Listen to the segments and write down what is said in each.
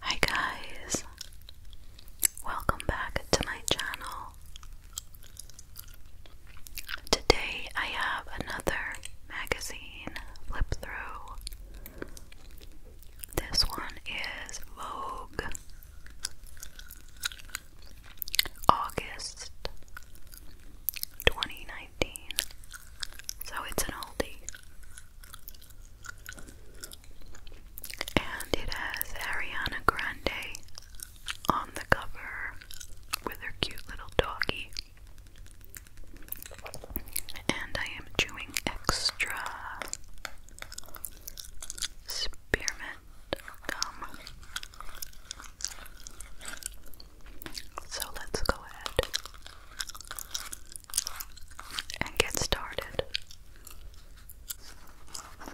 Hi guys, welcome back to my channel. Today I have another magazine flip through. This one is Vogue August 2019, so it's an oldie. And it has Ariana Grande on the cover with her cute little doggy. And I am chewing extra spearmint gum. So let's go ahead and get started.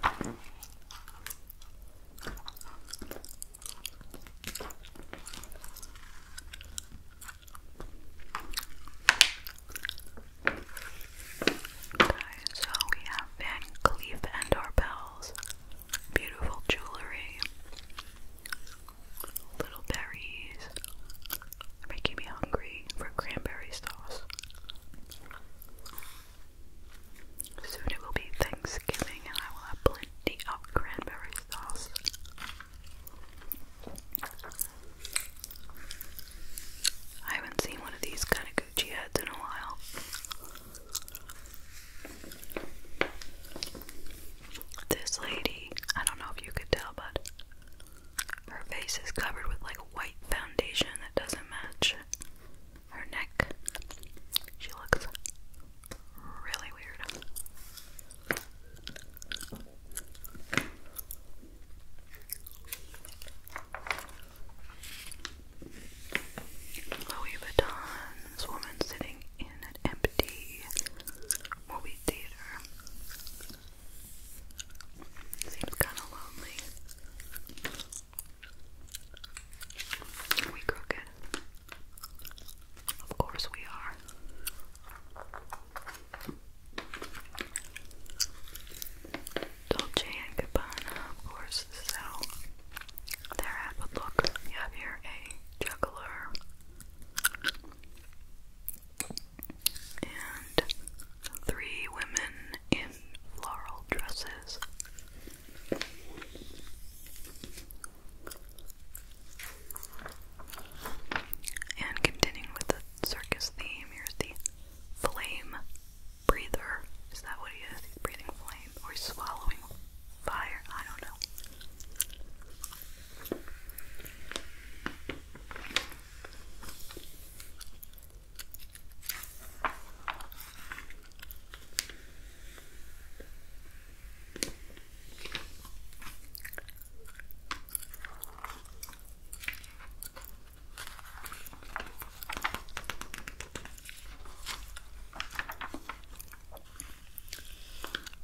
Okay, so we have Van Cleef and Arpels, beautiful jewelry, little berries, making me hungry for cranberry sauce. Soon it will be Thanksgiving and I will have plenty of cranberry sauce. I haven't seen one of these kind of Gucci heads in a while. This lady, I don't know if you could tell, but her face is covered with like a white foundation that doesn't match her neck. She looks really weird. Louis Vuitton, this woman sitting in an empty movie theater. Seems kind of lonely. we crooked? Of course we are. Dolce and Gabbana, of course, so their ad would look. You have here a juggler and three women in floral dresses. And continuing with the circus theme, here's the flame breather. Is that what he is? He's breathing flame or he's swallowing fire. I don't know.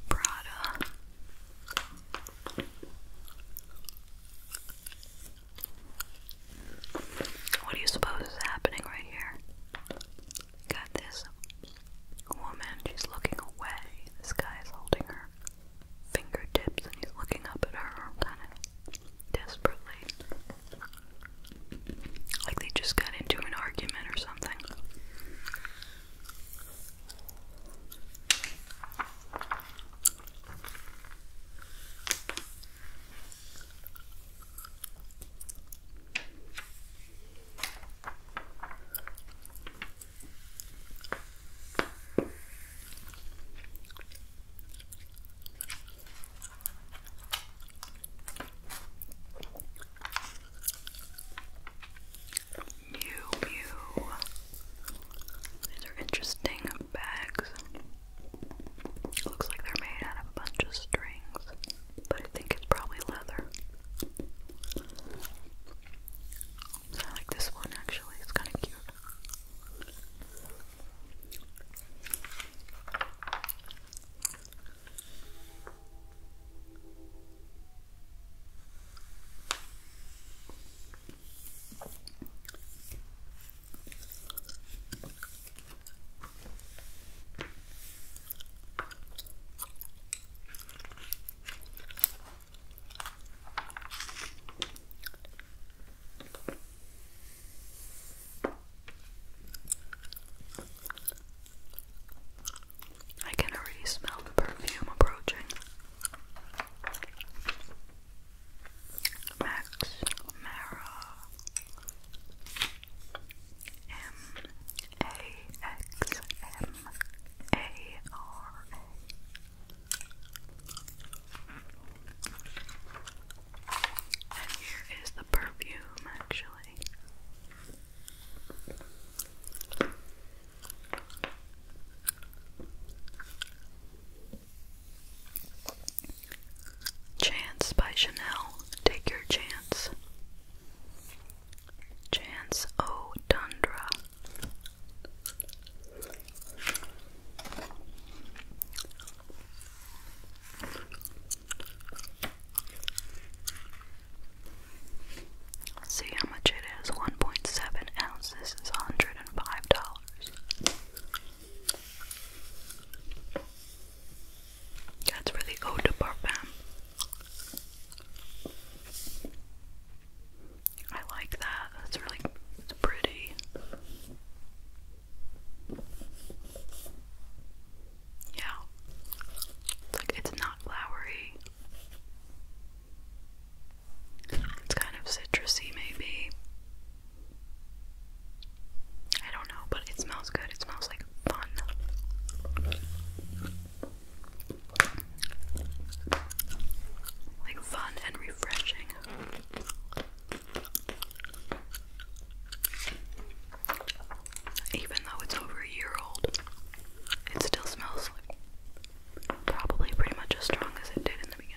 Prada what do you suppose is happening right here? Got this woman, she's looking away. This guy is holding her fingertips and he's looking up at her kind of desperately. Like they just got into an argument or something. Mew Mew these are interesting bags. Looks like they're made out of a bunch of strings, but I think it's probably leather. I like this one actually, it's kind of cute. I can already smell the perfume approaching. Max Mara M A X M A R A and here is the perfume actually. Chance by Chanel. Take your chance. Chance oh Tundra. See how much it is. One point seven ounces is hundred and five dollars. That's really eau de parfum. I like that. That's really pretty. Yeah. like it's not flowery. It's kind of citrusy, maybe. I don't know, but it smells good. It smells like fun. Like fun and refreshing. Even though it's over a year old, it still smells like probably pretty much as strong as it did in the beginning.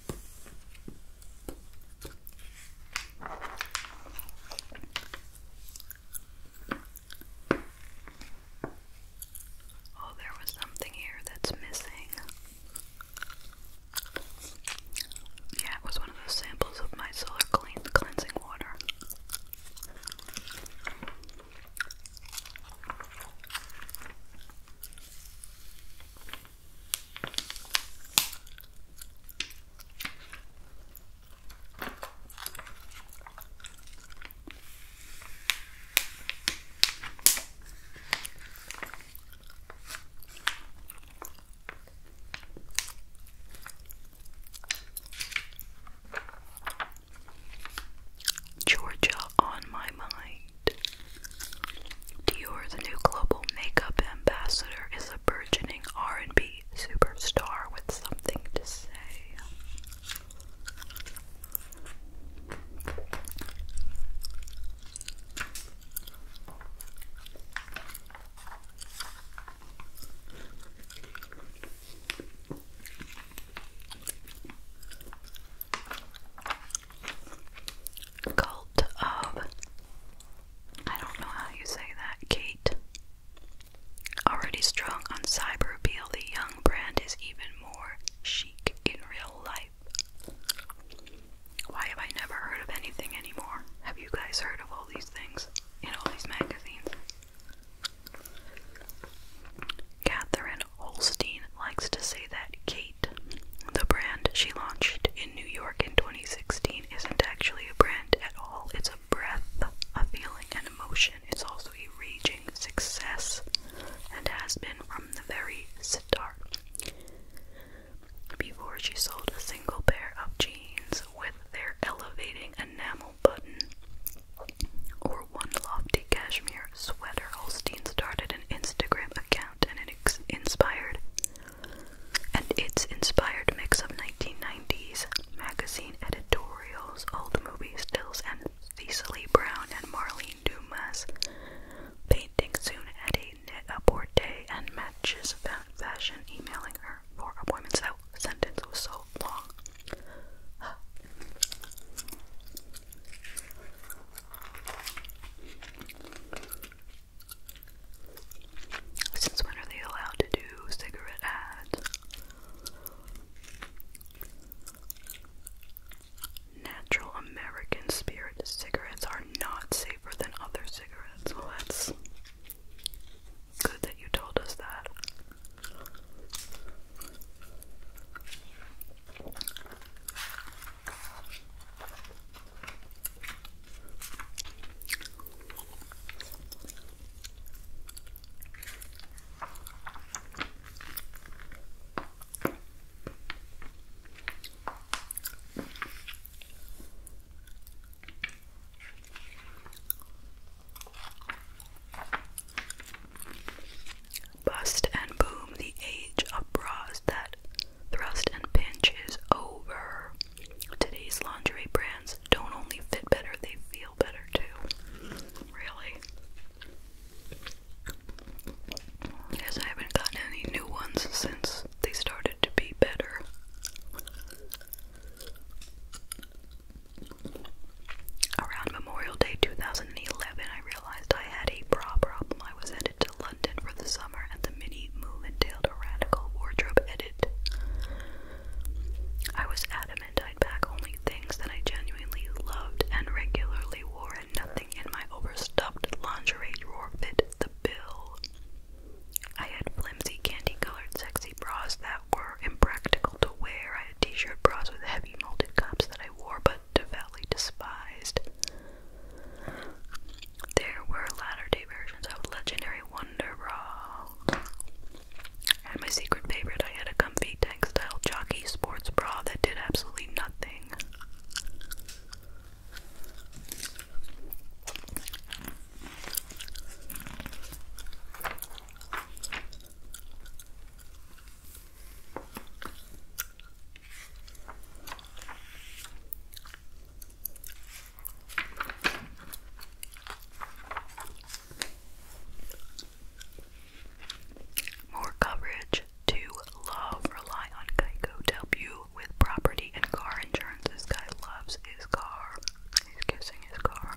Oh, there was something here that's missing. Yeah, it was one of those samples of my solar clean cleansing water. Georgia on my mind. Dior, the new global makeup ambassador, is a burgeoning R&B superstar with something to say. Cult of. I don't know how you say that, Kate. Already strong on cyber appeal, the young brand is even more chic in real life. Why have I never heard of anything anymore? Have you guys heard of all these things in all these magazines? Catherine Holstein likes to say that Kate the brand she launched in New York in 2016 isn't actually a brand at all. It's a breath, a feeling, an emotion. It's also a raging success and has been from the very start. Before she sold a single pair of jeans with their elevating enamel button or one lofty cashmere sweater, Holstein started an Instagram account and it inspired and its inspired mix of 1990s magazine editorials, old movie stills, and Cecily Brown and Marlene Dumas painting soon at a net day porter and matches fashion emailing her for appointments. That sentence was so long. Since when are they allowed to do cigarette ads? Natural American spirit cigarettes are not safer than other cigarettes. that's good that you told us that. Bust and boom the age of bras that Thrust and pinch is over. Today's lingerie brands don't only fit better, they feel better too. Really? Yes, I haven't gotten any new ones since they started to be better. Around Memorial Day 2011, I realized I had a bra problem. I was at to London for the summer, and the mini move entailed a radical wardrobe edit. I was adamant I'd pack only things that I genuinely loved and regularly wore, and nothing in my overstuffed lingerie drawer fit the bill. I had flimsy candy colored sexy bras that were impractical to wear. I had t shirt bras with heavy molded cups that I wore but devoutly despised. There were latter day versions of Legendary Wonder Bra. And my secret favorite, I had a comfy textile jockey sports bra that did absolutely nothing. More coverage to love. Rely on Geico to help you with property and car insurance. This guy loves his car. He's kissing his car.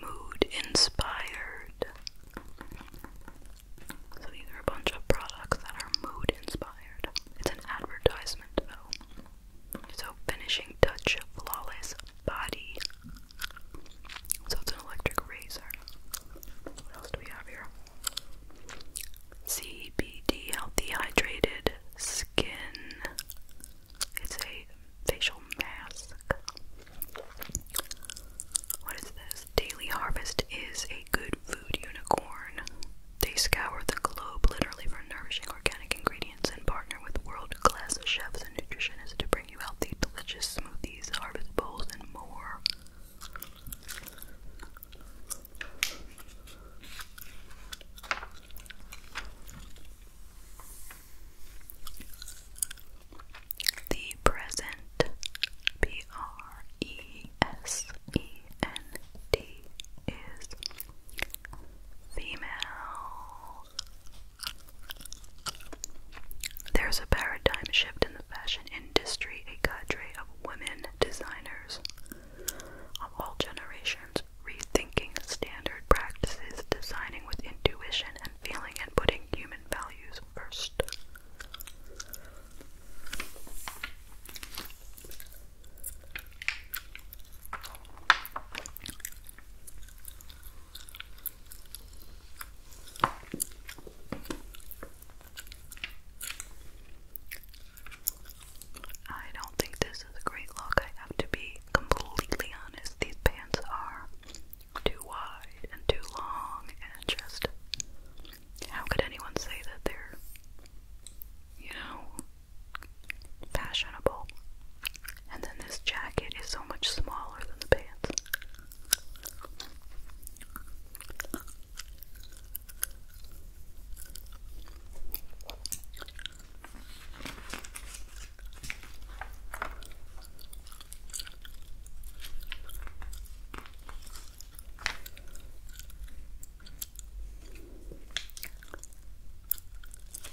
Mood inspired. So these are a bunch of products that are mood inspired. It's an advertisement So finishing touch flawless body so it's an electric razor. What else do we have here? CBD Healthy Hydrated Skin. It's a facial mask. What is this? Daily Harvest is a good food unicorn. They scour the globe literally for nourishing organic ingredients and partner with world class chefs and nutritionists to bring bring you healthy, delicious smoothies, harvest bowls, and more. The present P R E S E N D is female there's a paradigm shift in the fashion industry. A cadre of women designers of all generations rethinking standard practices, designing with intuition and feeling, and putting human values first. I don't think this is a great look. I have to be completely honest. These pants are too wide and too long, and just how could anyone say that they're, you know, fashionable? And then this jacket is so much smaller than the pants.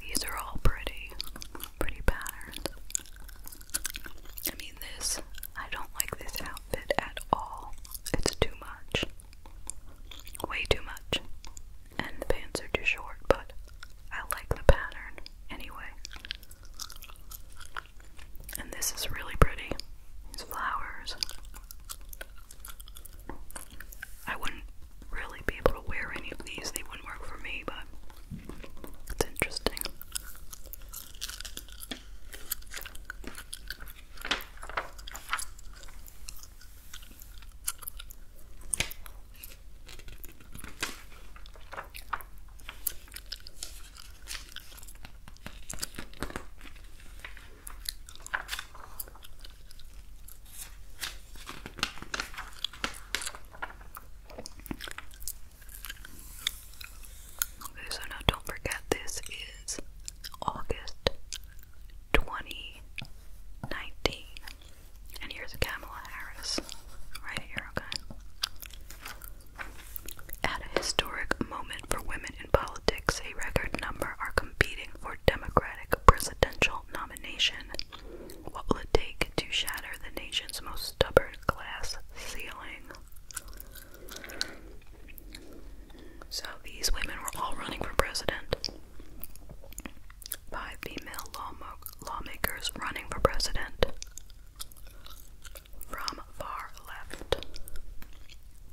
These are all pretty, pretty patterns. I mean, this, I don't like this outfit at all. It's too much. Way too much. And the pants are too short, but I like the pattern anyway. And this is really pretty. These flowers. I wouldn't really be able to wear any of these. They wouldn't work for me, but it's interesting. Okay, so now don't forget this is August 2019. And here's Kamala Harris right here, okay? At a historic moment for women in politics, a record number are competing for Democratic presidential nomination what will it take to shatter the nation's most stubborn glass ceiling? So these women were all running for president. Five female lawmakers running for president from far left.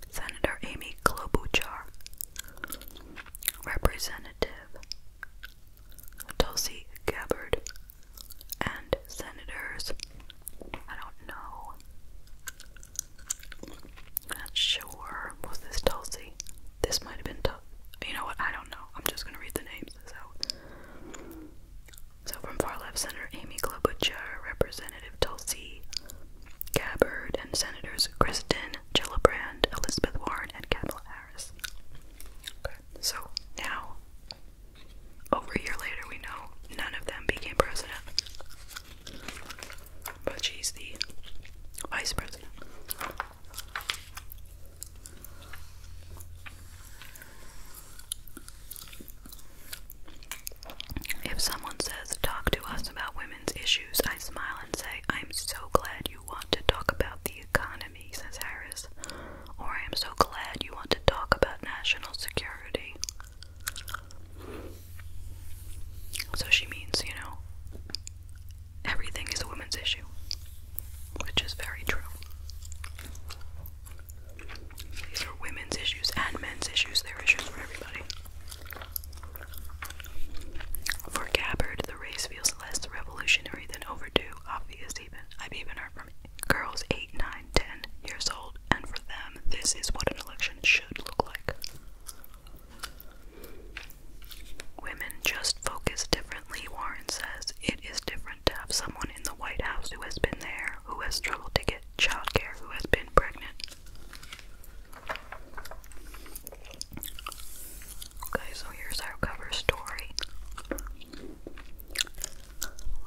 Senator Amy Klobuchar, Representative Tulsi Gabbard, and senators. I don't know. Not sure. Was this Tulsi? This might have been Tulsi. You know what? I don't know. I'm just gonna read the names. So, so from far left, Senator Amy Klobuchar, Representative Tulsi Gabbard, and Senators Kristen Gillibrand, Elizabeth Warren, and Kamala so now, over a year later, we know none of them became president. But she's the vice president. If someone says, Talk to us about women's issues, I smile and say, I'm so glad you." you want to talk about the economy, says Harris, or oh, I am so glad you want to talk about national security. So she means, you know, everything is a women's issue, which is very true. These are women's issues and men's issues, they're issues for everybody. For Gabbard, the race feels less revolutionary than overdue, obvious even. I've even heard from girls 8, 9, 10 years old, and for them, this is what an election should look like. Women just focus differently, Warren says. It is different to have someone in the White House who has been there, who has struggled to get child care, who has been pregnant. Okay, so here's our cover story.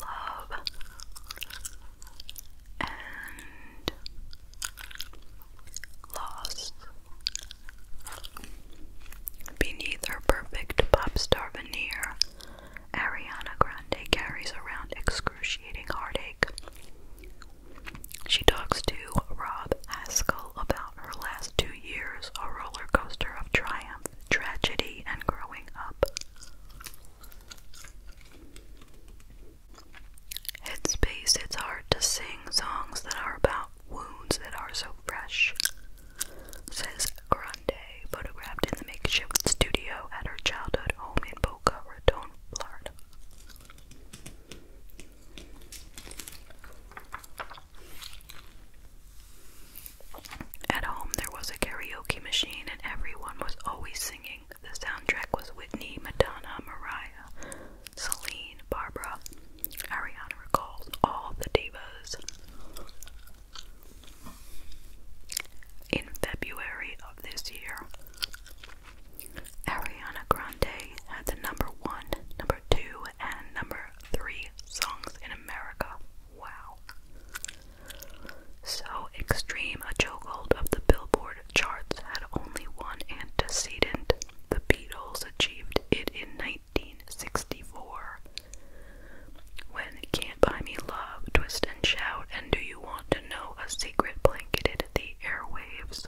Love and loss. Beneath her perfect pop star veneer, Ariana Grande carries around excruciating heartache. She talks to Rob Haskell about her last two years a roller coaster of triumph, tragedy, and growing up. Headspace, it's hard to sing songs that are about wounds that are so fresh, says Grande, photographed in the makeshift studio at her childhood home in Boca Raton, Florida. At home, there was a karaoke machine, and everyone was always singing. The soundtrack was Whitney, Madonna, Mariah, Celine, Barbara, Ariana recalled all the divas. In February of this year, Ariana Grande had the number one, number two and number three songs in America. Wow. So, Extreme, a chokehold of the Billboard charts, had only one antecedent. The Beatles achieved it in 1964 when Can't Buy Me Love, Twist and Shout, and Do You Want to Know a Secret blanketed the airwaves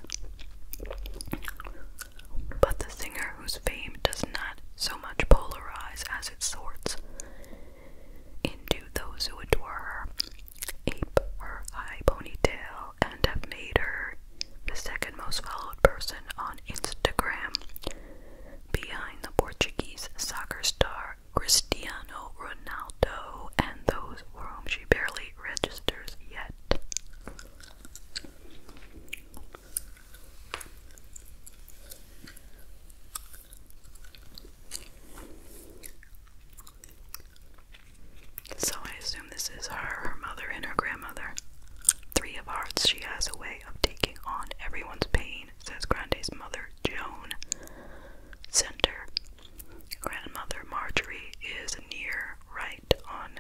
but the singer whose fame does not so much polarize as it sorts into those who adore her, ape her high ponytail, and have made her the second most followed person on Instagram behind the Portuguese soccer star Cristiano Ronaldo and those for whom she barely registers yet. So I assume this is her, her mother, and her grandmother. Three of hearts, she has a way of taking on everyone's pain, says Grande's mother, Joan. Center. Grandmother Marjorie is near right on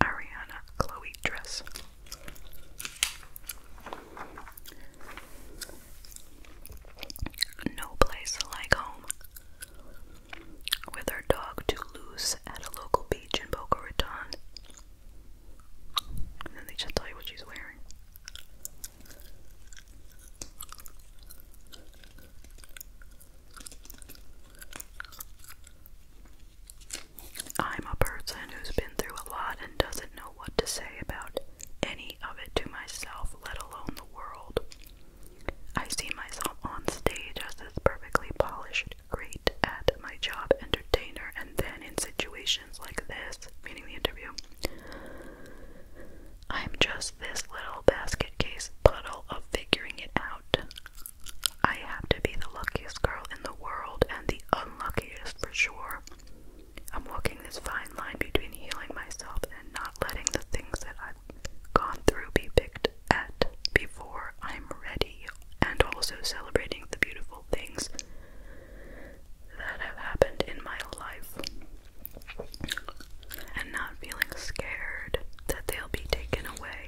Ariana Chloe dress. No place like home. With her dog too loose at a local beach in Boca Raton. then they just you what she's wearing. I'm a person who's been through a lot and doesn't know what to say about any of it to myself, let alone the world. I see myself on stage as this perfectly polished, great at my job entertainer, and then in situations like this, meaning the interview, I'm just this little basket case puddle of figuring it out. I have to be the luckiest girl in the world and the unluckiest for sure. I'm walking this fine line between healing myself and not letting the things that I've gone through be picked at before I'm ready, and also celebrating the beautiful things that have happened in my life and not feeling scared that they'll be taken away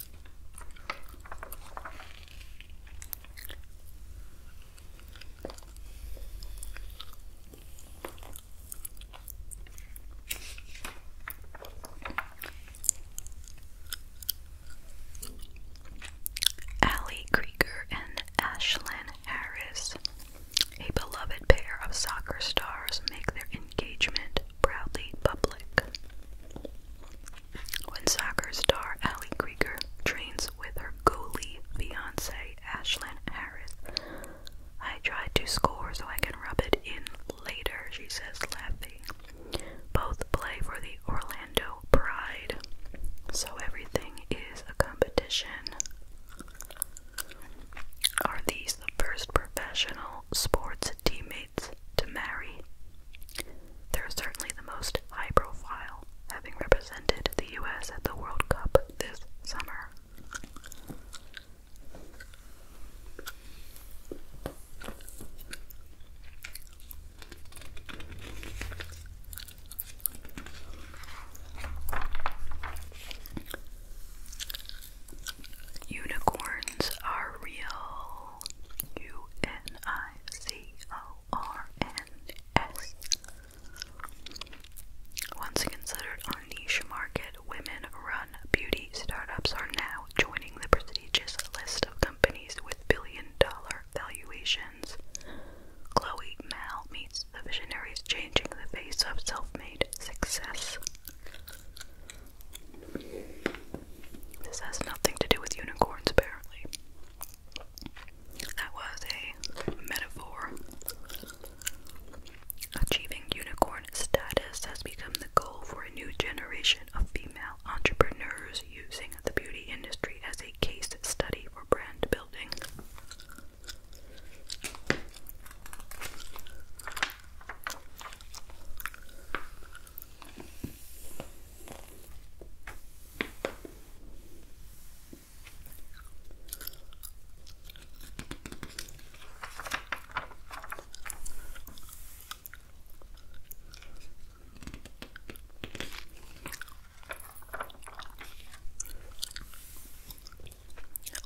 Ali Krieger and Ashlyn Harris, a beloved pair of soccer stars, make their engagement proudly public when soccer star Ally Krieger trains with her goalie fiance Ashland Harris. I try to score so I can rub it in later, she says, laughing. Both play for the Orlando Pride, so everything is a competition. Are these the first professional sports teammates? to marry. They're certainly the most high profile, having represented the US at the World Cup this summer. Unicorns are real. U N I C O R N S. Once considered a niche market, women run beauty startups are now joining the prestigious list of companies with billion dollar valuations. Chloe Mal meets the visionaries changing the face of self made success. This has nothing to do with unicorns, apparently. That was a metaphor. Achieving unicorn status has become the goal for a new generation of female entrepreneurs using the beauty industry as a case study for brand building.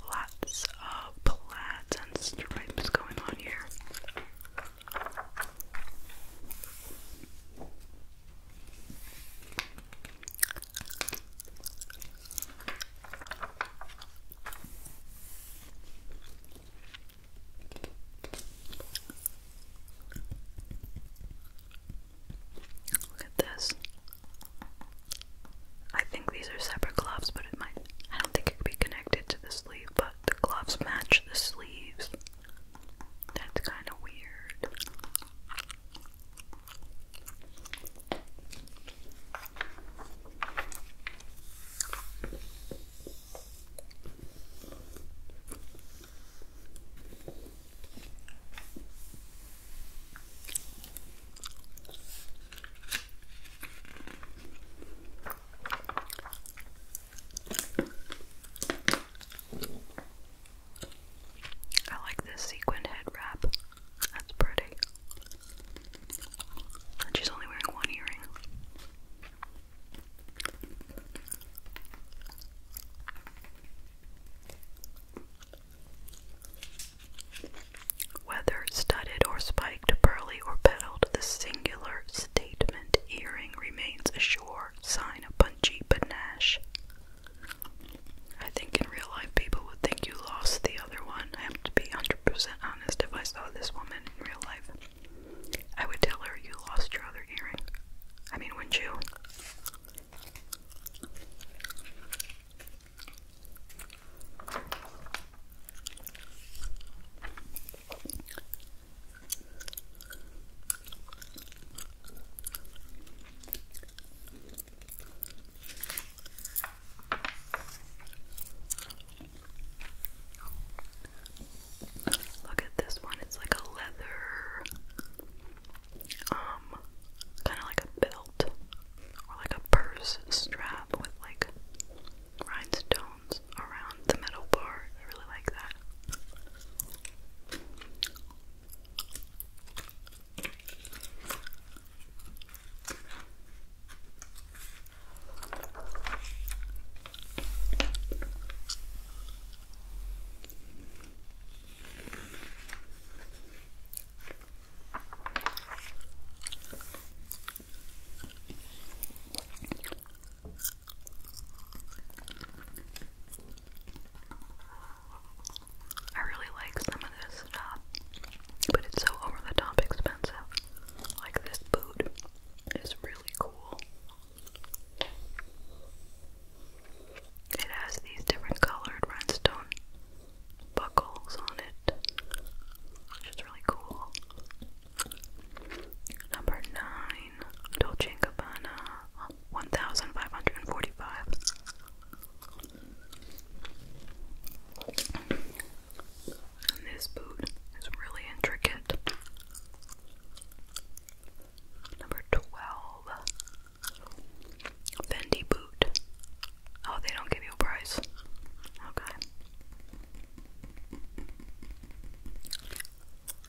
Lots of plaids and stripes going on here. Look at this. I think these are separate gloves, but it might. I don't think it could be connected to the sleeve but the gloves match the sleeves. That's kind of weird. I like this sequined head wrap. That's pretty. she's only wearing one earring. Whether studded or spiked, pearly or petaled, the singular earring remains a sign of punchy panache. I think in real life people would think you lost the other one. I have to be 100% honest. If I saw this woman in real life, I would tell her you lost your other earring. I mean, wouldn't you? Look at this one, it's like a leather, um, kind of like a belt or like a purse strap with like rhinestones sounds around the metal bar. I really like that. I really like some of this stuff, but it's so over the top expensive. Like this boot is really cool. It has these different colored rhinestone buckles on it, which is really cool. Number 9, Dolce & Gabbana, 1545 And this boot is really intricate. Number 12, Fendi boot. Oh, they don't give you a price. Okay.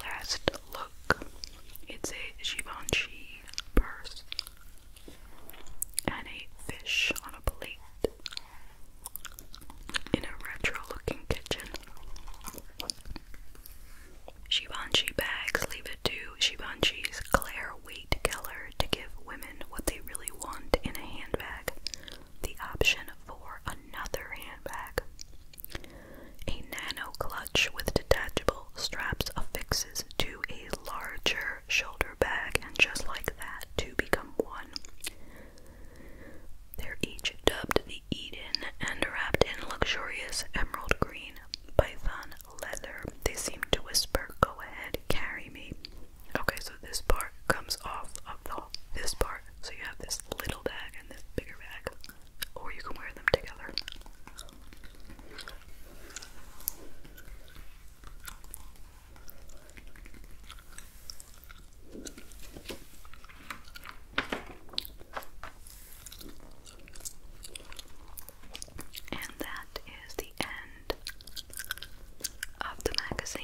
Last look, it's a Givenchy purse and a fish on a plate in a retro looking kitchen. Givenchy bags leave it to Givenchy's Claire for Keller to give women what they really want in a handbag, the option for another handbag. A nano clutch with detachable straps affixes to a larger shoulder bag, and just like that, to become one. They're each dubbed the Eden and wrapped in luxurious emerald green python leather. They seem to whisper, Go ahead, carry me. Okay, so this part comes off of the this part. So you have this little bag and this bigger bag. Or you can wear them together. And that is the end of the magazine.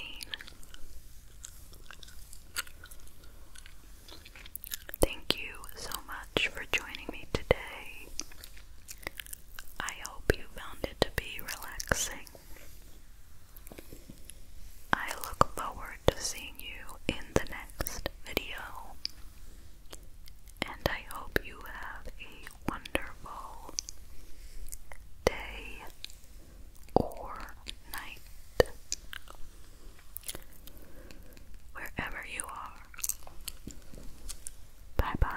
Thank you so much for joining me today. I hope you found it to be relaxing. I look forward to seeing you in the next video, and I hope you have a wonderful day or night. Wherever you are. Bye bye.